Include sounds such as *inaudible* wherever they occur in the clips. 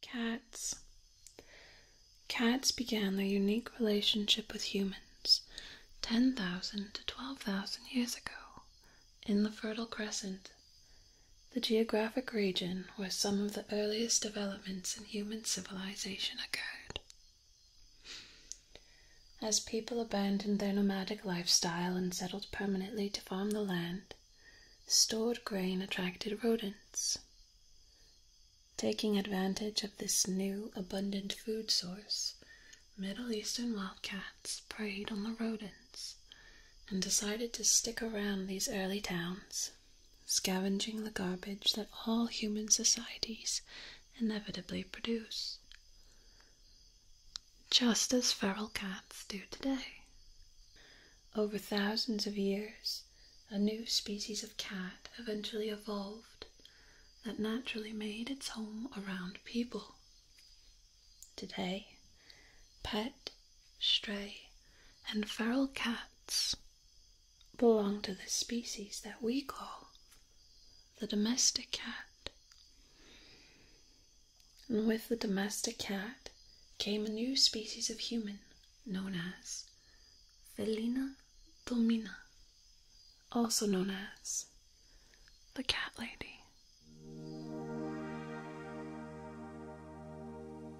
Cats. Cats began their unique relationship with humans 10,000 to 12,000 years ago in the Fertile Crescent, the geographic region where some of the earliest developments in human civilization occurred. As people abandoned their nomadic lifestyle and settled permanently to farm the land, stored grain attracted rodents. Taking advantage of this new abundant food source, Middle Eastern wildcats preyed on the rodents and decided to stick around these early towns scavenging the garbage that all human societies inevitably produce, just as feral cats do today. Over thousands of years, a new species of cat eventually evolved that naturally made its home around people. Today, pet, stray, and feral cats Belonged to the species that we call the domestic cat. And with the domestic cat came a new species of human known as Felina domina, also known as the cat lady.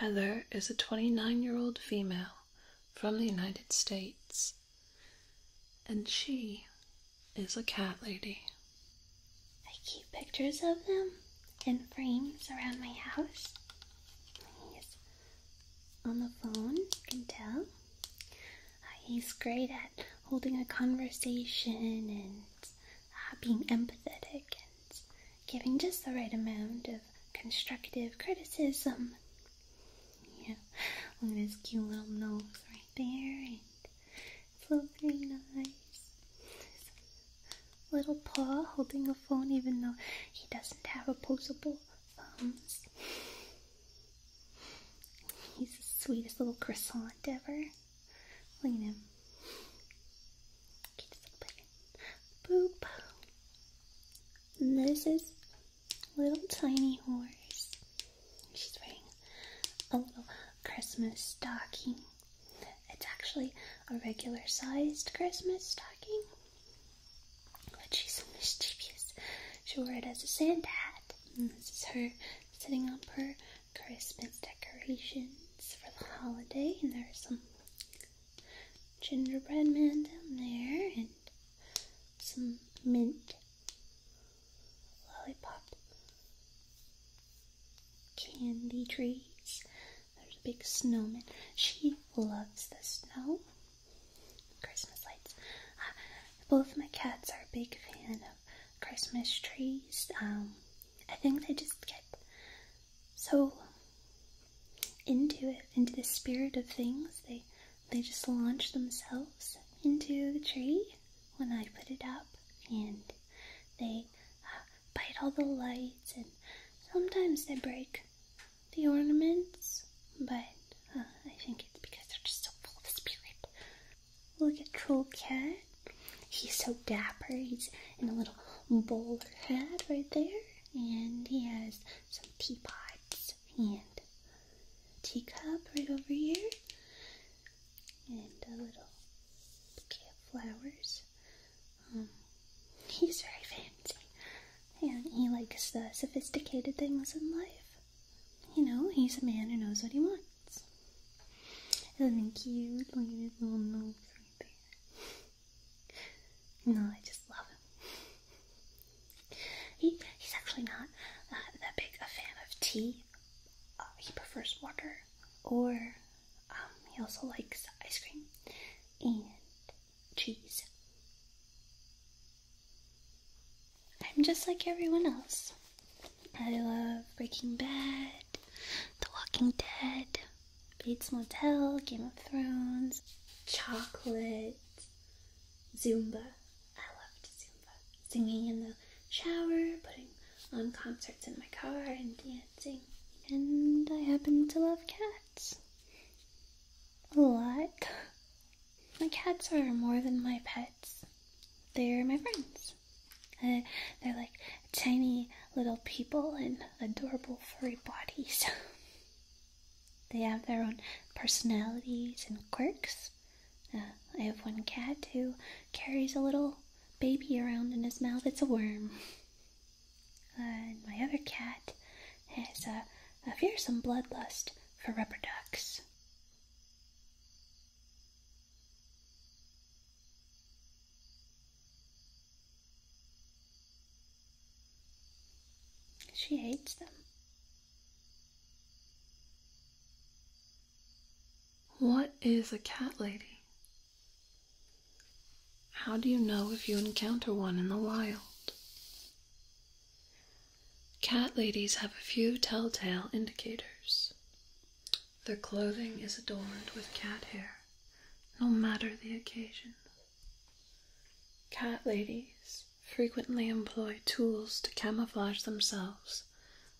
Heather is a 29 year old female from the United States, and she is a cat lady. I keep pictures of them in frames around my house. He's on the phone, you can tell. Uh, he's great at holding a conversation and uh, being empathetic giving just the right amount of constructive criticism. Yeah, look at his cute little nose right there, and it's looking nice. His little paw holding a phone, even though he doesn't have opposable thumbs. He's the sweetest little croissant ever. Look at him. Boop. And this is little tiny horse. She's wearing a little Christmas stocking. It's actually a regular sized Christmas stocking, but she's mischievous. She wore it as a Santa hat, and this is her sitting on her Christmas decorations for the holiday, and there's some gingerbread man down there, and some mint lollipop candy trees. There's a big snowman. She loves the snow. Christmas lights. Uh, both my cats are a big fan of Christmas trees. Um, I think they just get so into it, into the spirit of things. They they just launch themselves into the tree when I put it up, and they uh, bite all the lights, and sometimes they break the ornaments, but uh, I think it's because they're just so full of spirit. Look at Cool Cat. He's so dapper. He's in a little bowler hat right there. And he has some teapots and teacup right over here. And a little bouquet of flowers. Um, he's very fancy. And he likes the sophisticated things in life. You know, he's a man who knows what he wants. Isn't cute? Look at his little nose right there. No, I just love him. He, he's actually not uh, that big a fan of tea. Uh, he prefers water, or um, he also likes ice cream and cheese. I'm just like everyone else. I love Breaking Bad, The Walking Dead, Bates Motel, Game of Thrones, Chocolate, Zumba. I love Zumba. Singing in the shower, putting on concerts in my car, and dancing. And I happen to love cats. A lot. My cats are more than my pets, they're my friends. Eh, they're like tiny little people and adorable furry bodies. *laughs* they have their own personalities and quirks. Uh, I have one cat who carries a little baby around in his mouth. It's a worm. *laughs* and my other cat has a fearsome bloodlust for rubber ducks. She hates them. What is a cat lady? How do you know if you encounter one in the wild? Cat ladies have a few telltale indicators. Their clothing is adorned with cat hair, no matter the occasion. Cat ladies frequently employ tools to camouflage themselves,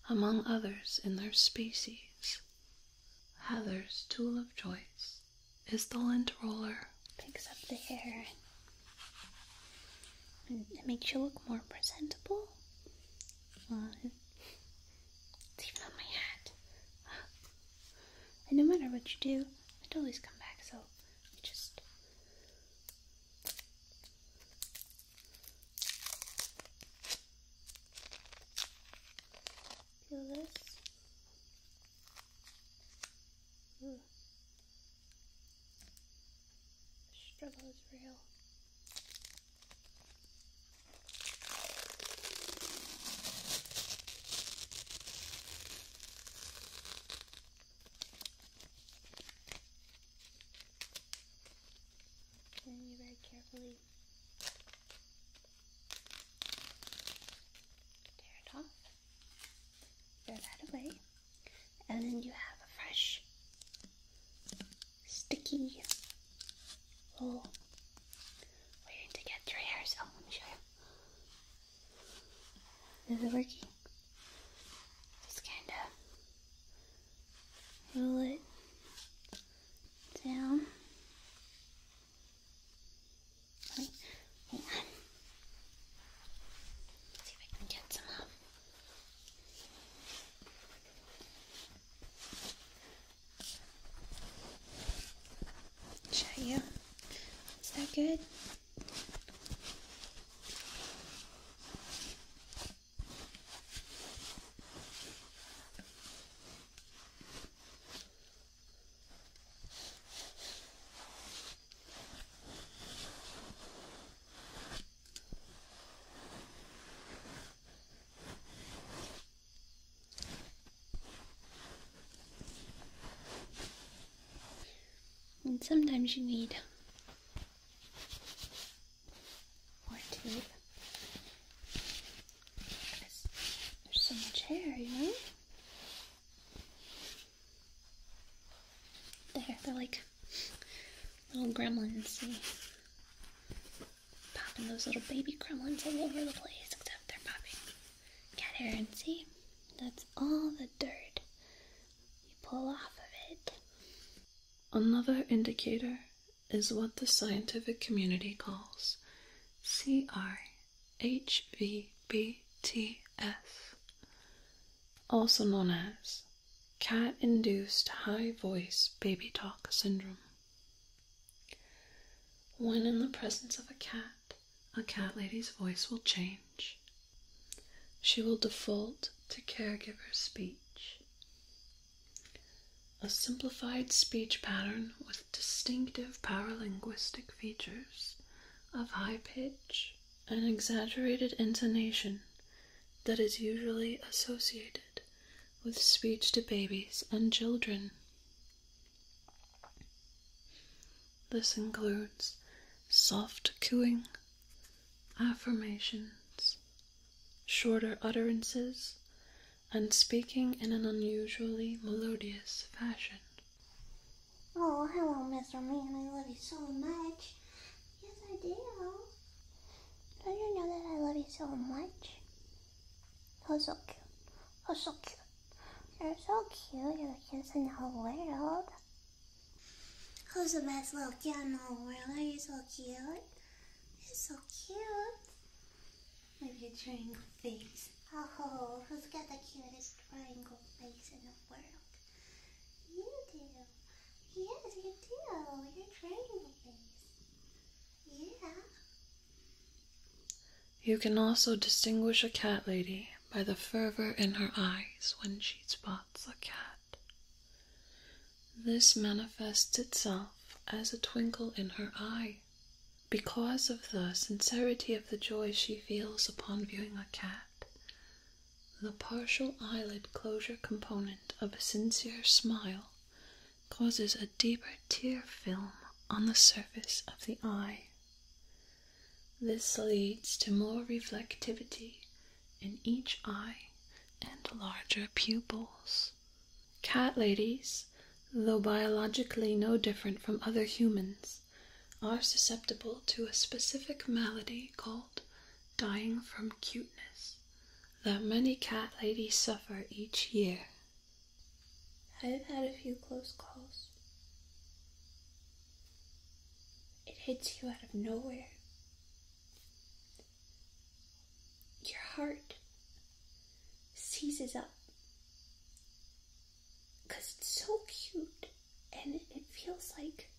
among others in their species. Heather's tool of choice is the lint roller. Picks up the hair and, it makes you look more presentable fun. It's even on my hat. And no matter what you do, it always come back, so just peel this. struggle is real. And you very carefully tear it off, throw that away, and then you have a fresh sticky oh, waiting to get your hairs. Oh, let me show you. Is it working. Just kind of roll it down. Wait, see if I can get some off. Show you. Is that good? And sometimes you need more tape because there's so much hair, you know? There, they're like little gremlins. See? Popping those little baby gremlins all over the place, except they're popping Get hair. And see, that's all the dirt you pull off of it. Another indicator is what the scientific community calls CRHVBTS also known as cat induced high voice baby talk syndrome. When in the presence of a cat, a cat lady's voice will change. She will default to caregiver speech. A simplified speech pattern with distinctive paralinguistic features of high pitch, an exaggerated intonation that is usually associated with speech to babies and children. This includes soft cooing, affirmations, shorter utterances, and speaking in an unusually melodious fashion. Oh, hello, Mr. Man. I love you so much. Yes, I do. Don't you know that I love you so much? You're so cute. You're so cute. You're so cute. You're the cutest in the whole world. Who's the best little kid in the whole world? Are you so cute? You're so cute. My cute triangle face. Oh, who's got the cutest triangle face in the world? You do. Yes, you do. You're training these. Yeah. You can also distinguish a cat lady by the fervor in her eyes when she spots a cat. This manifests itself as a twinkle in her eye because of the sincerity of the joy she feels upon viewing a cat. The partial eyelid closure component of a sincere smile causes a deeper tear film on the surface of the eye. This leads to more reflectivity in each eye and larger pupils. Cat ladies, though biologically no different from other humans, are susceptible to a specific malady called dying from cuteness, that many cat ladies suffer each year. I have had a few close calls. It hits you out of nowhere. Your heart seizes up it's so cute and it feels like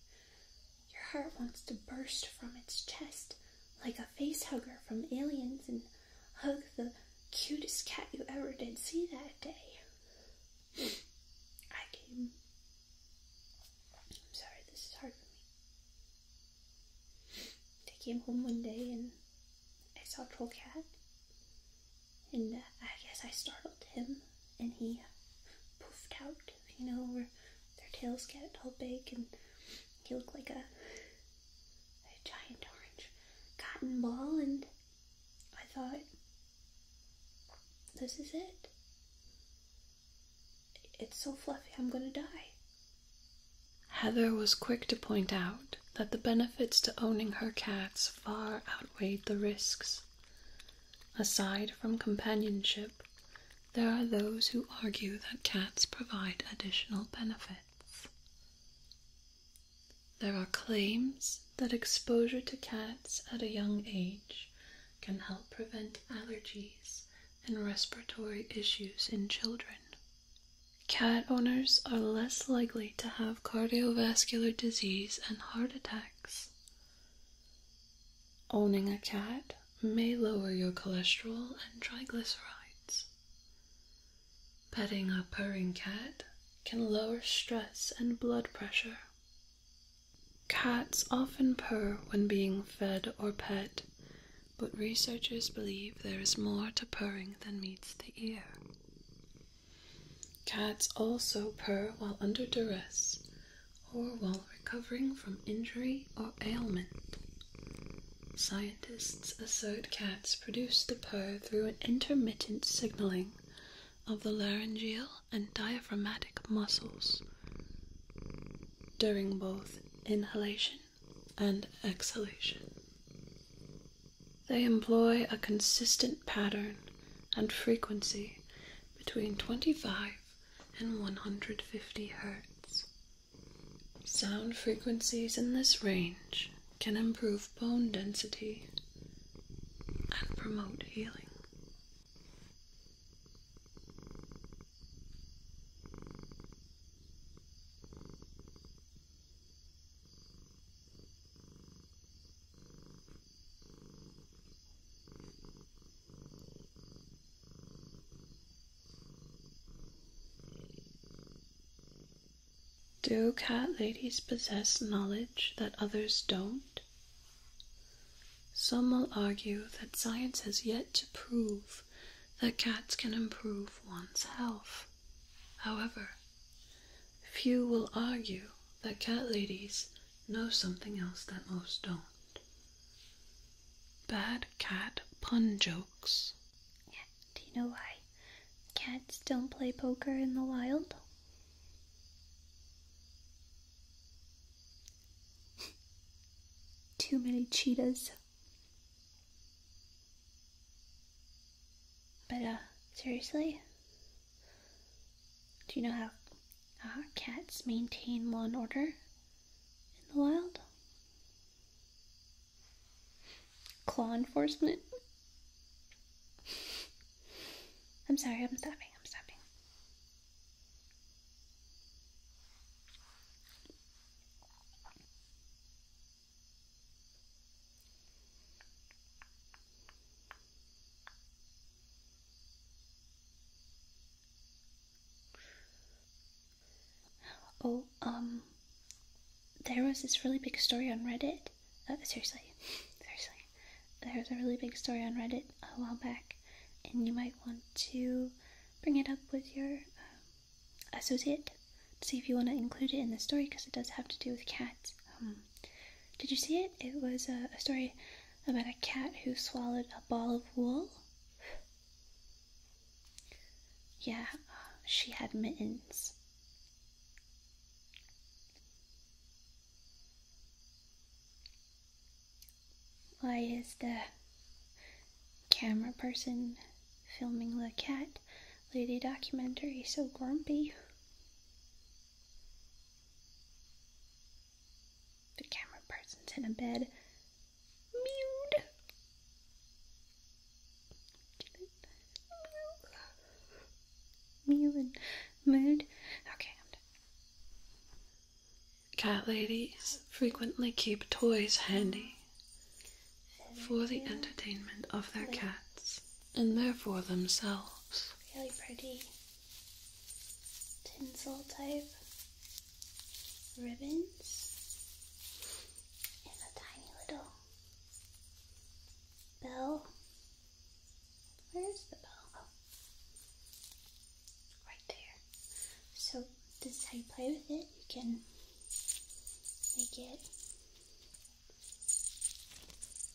your heart wants to burst from its chest like a face hugger from aliens and hug the cutest cat you ever did see that day. I came. I'm sorry, this is hard for me. I came home one day and I saw troll cat, and uh, I guess I startled him, and he poofed out, you know, where their tails get all big and you look like a, a giant orange cotton ball. And I thought, this is it. It's so fluffy, I'm gonna die. Heather was quick to point out that the benefits to owning her cats far outweighed the risks. Aside from companionship, there are those who argue that cats provide additional benefits. There are claims that exposure to cats at a young age can help prevent allergies and respiratory issues in children. Cat owners are less likely to have cardiovascular disease and heart attacks. Owning a cat may lower your cholesterol and triglycerides. Petting a purring cat can lower stress and blood pressure. Cats often purr when being fed or pet, but researchers believe there is more to purring than meets the ear. Cats also purr while under duress or while recovering from injury or ailment. Scientists assert cats produce the purr through an intermittent signaling of the laryngeal and diaphragmatic muscles during both inhalation and exhalation. They employ a consistent pattern and frequency between 25 and 150 hertz. Sound frequencies in this range can improve bone density and promote healing. Do cat ladies possess knowledge that others don't? Some will argue that science has yet to prove that cats can improve one's health. However, Few will argue that cat ladies know something else that most don't. Bad cat pun jokes. Yeah, do you know why cats don't play poker in the wild? Too many cheetahs. But, uh, seriously? Do you know how cats maintain law and order in the wild? Law enforcement. I'm sorry, I'm stopping. I'm stopping. Oh, um, there was this really big story on Reddit. Uh, seriously, *laughs* seriously, there was a really big story on Reddit a while back, and you might want to bring it up with your um, associate to see if you want to include it in the story because it does have to do with cats. Um, did you see it? It was a, a story about a cat who swallowed a ball of wool. Yeah, she had mittens. Why is the camera person filming the cat lady documentary so grumpy? The camera person's in a bed. Mewed. Mew and mood. Okay, I'm done. Cat ladies frequently keep toys handy for the entertainment of their cats and therefore themselves. Really pretty tinsel type ribbons and a tiny little bell. Where's the bell? Oh, right there. So this is how you play with it. You can make it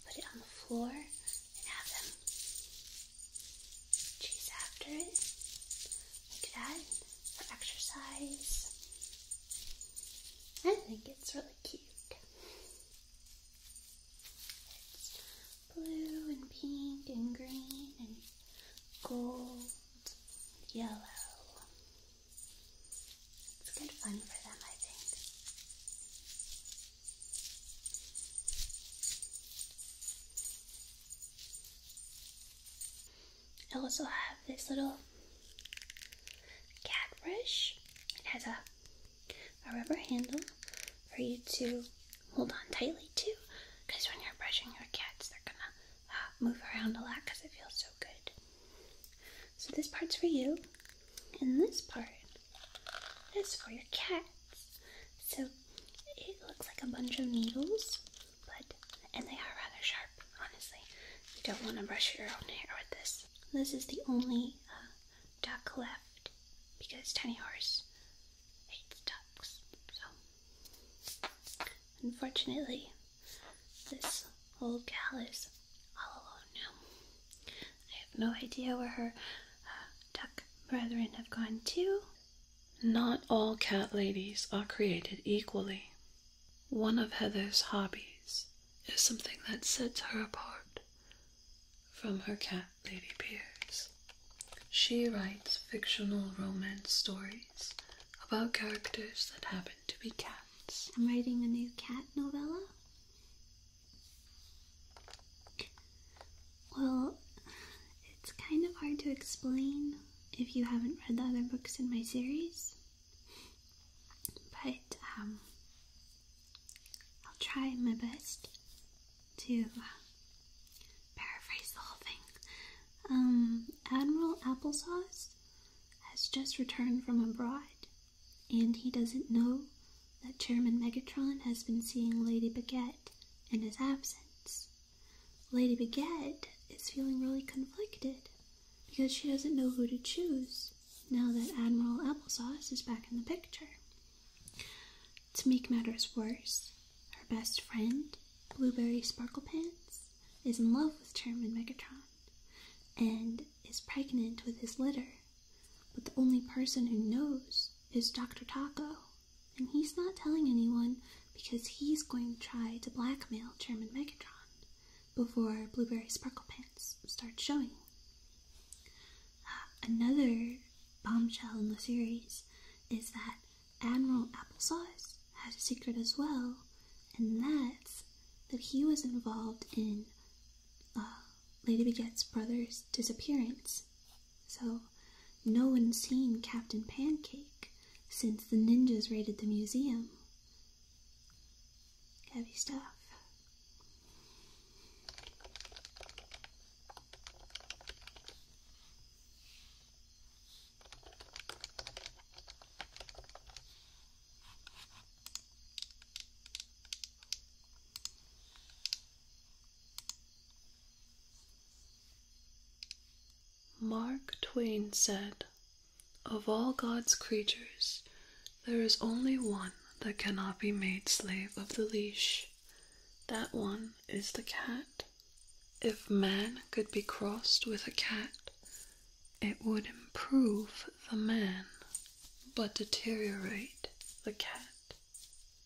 Put it on the floor and have them chase after it like that for exercise. I think it's really cute. It's blue and pink and green and gold, and yellow. It's good fun for them, I think. I also have this little cat brush. It has a, a rubber handle for you to hold on tightly to because when you're brushing your cats, they're gonna uh, move around a lot because it feels so good. So this part's for you, and this part is for your cats. So it looks like a bunch of needles, but and they are rather sharp, honestly. You don't want to brush your own hair with this. This is the only uh, duck left because Tiny Horse hates ducks. So unfortunately, this old gal is all alone now. I have no idea where her uh, duck brethren have gone to. Not all cat ladies are created equally. One of Heather's hobbies is something that sets her apart from her cat lady peers. She writes fictional romance stories about characters that happen to be cats. I'm writing a new cat novella. Well, it's kind of hard to explain if you haven't read the other books in my series, but um, I'll try my best to uh, paraphrase the whole thing. Um, Admiral Applesauce has just returned from abroad and he doesn't know that Chairman Megatron has been seeing Lady Baguette in his absence. Lady Baguette is feeling really conflicted because she doesn't know who to choose now that Admiral Applesauce is back in the picture. To make matters worse, her best friend, Blueberry Sparklepants, is in love with Chairman Megatron and is pregnant with his litter. But the only person who knows is Dr. Taco, and he's not telling anyone because he's going to try to blackmail Chairman Megatron before Blueberry Sparklepants starts showing. Another bombshell in the series is that Admiral Applesauce has a secret as well and that's that he was involved in uh, Lady Begette's brother's disappearance. So, no one's seen Captain Pancake since the ninjas raided the museum. Heavy stuff. Mark Twain said, Of all God's creatures, there is only one that cannot be made slave of the leash. That one is the cat. If man could be crossed with a cat, it would improve the man but deteriorate the cat.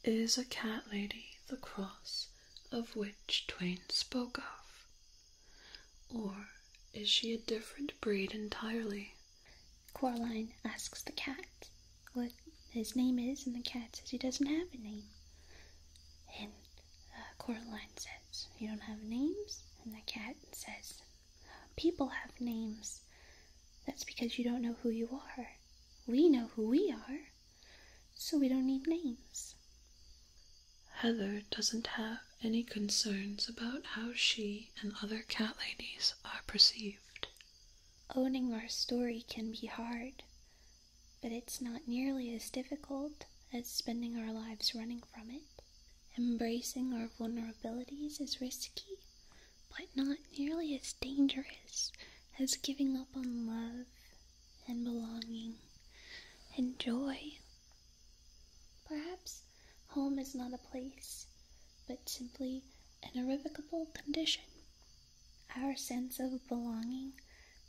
Is a cat lady the cross of which Twain spoke of? Or is she a different breed entirely? Coraline asks the cat what his name is, and the cat says he doesn't have a name. And uh, Coraline says, you don't have names? And the cat says, People have names. That's because you don't know who you are. We know who we are, so we don't need names. Heather doesn't have any concerns about how she and other cat ladies are perceived. Owning our story can be hard, but it's not nearly as difficult as spending our lives running from it. Embracing our vulnerabilities is risky, but not nearly as dangerous as giving up on love and belonging and joy. Perhaps home is not a place, but simply an irrevocable condition. Our sense of belonging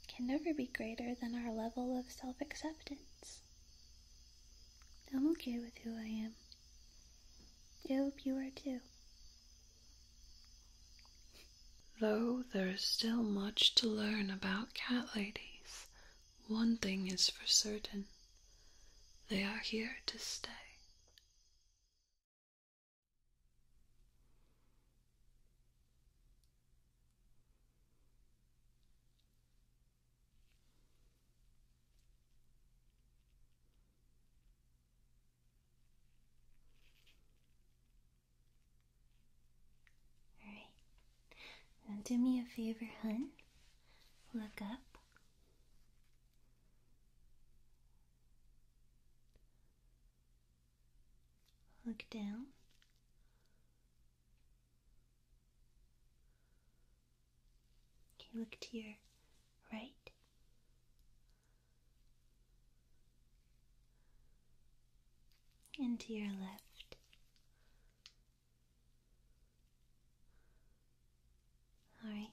can never be greater than our level of self acceptance. I'm okay with who I am. I hope you are too. Though there is still much to learn about cat ladies, one thing is for certain they are here to stay. All right. do me a favor, hun. Look up. Look down. Can look to your right? And to your left. All right.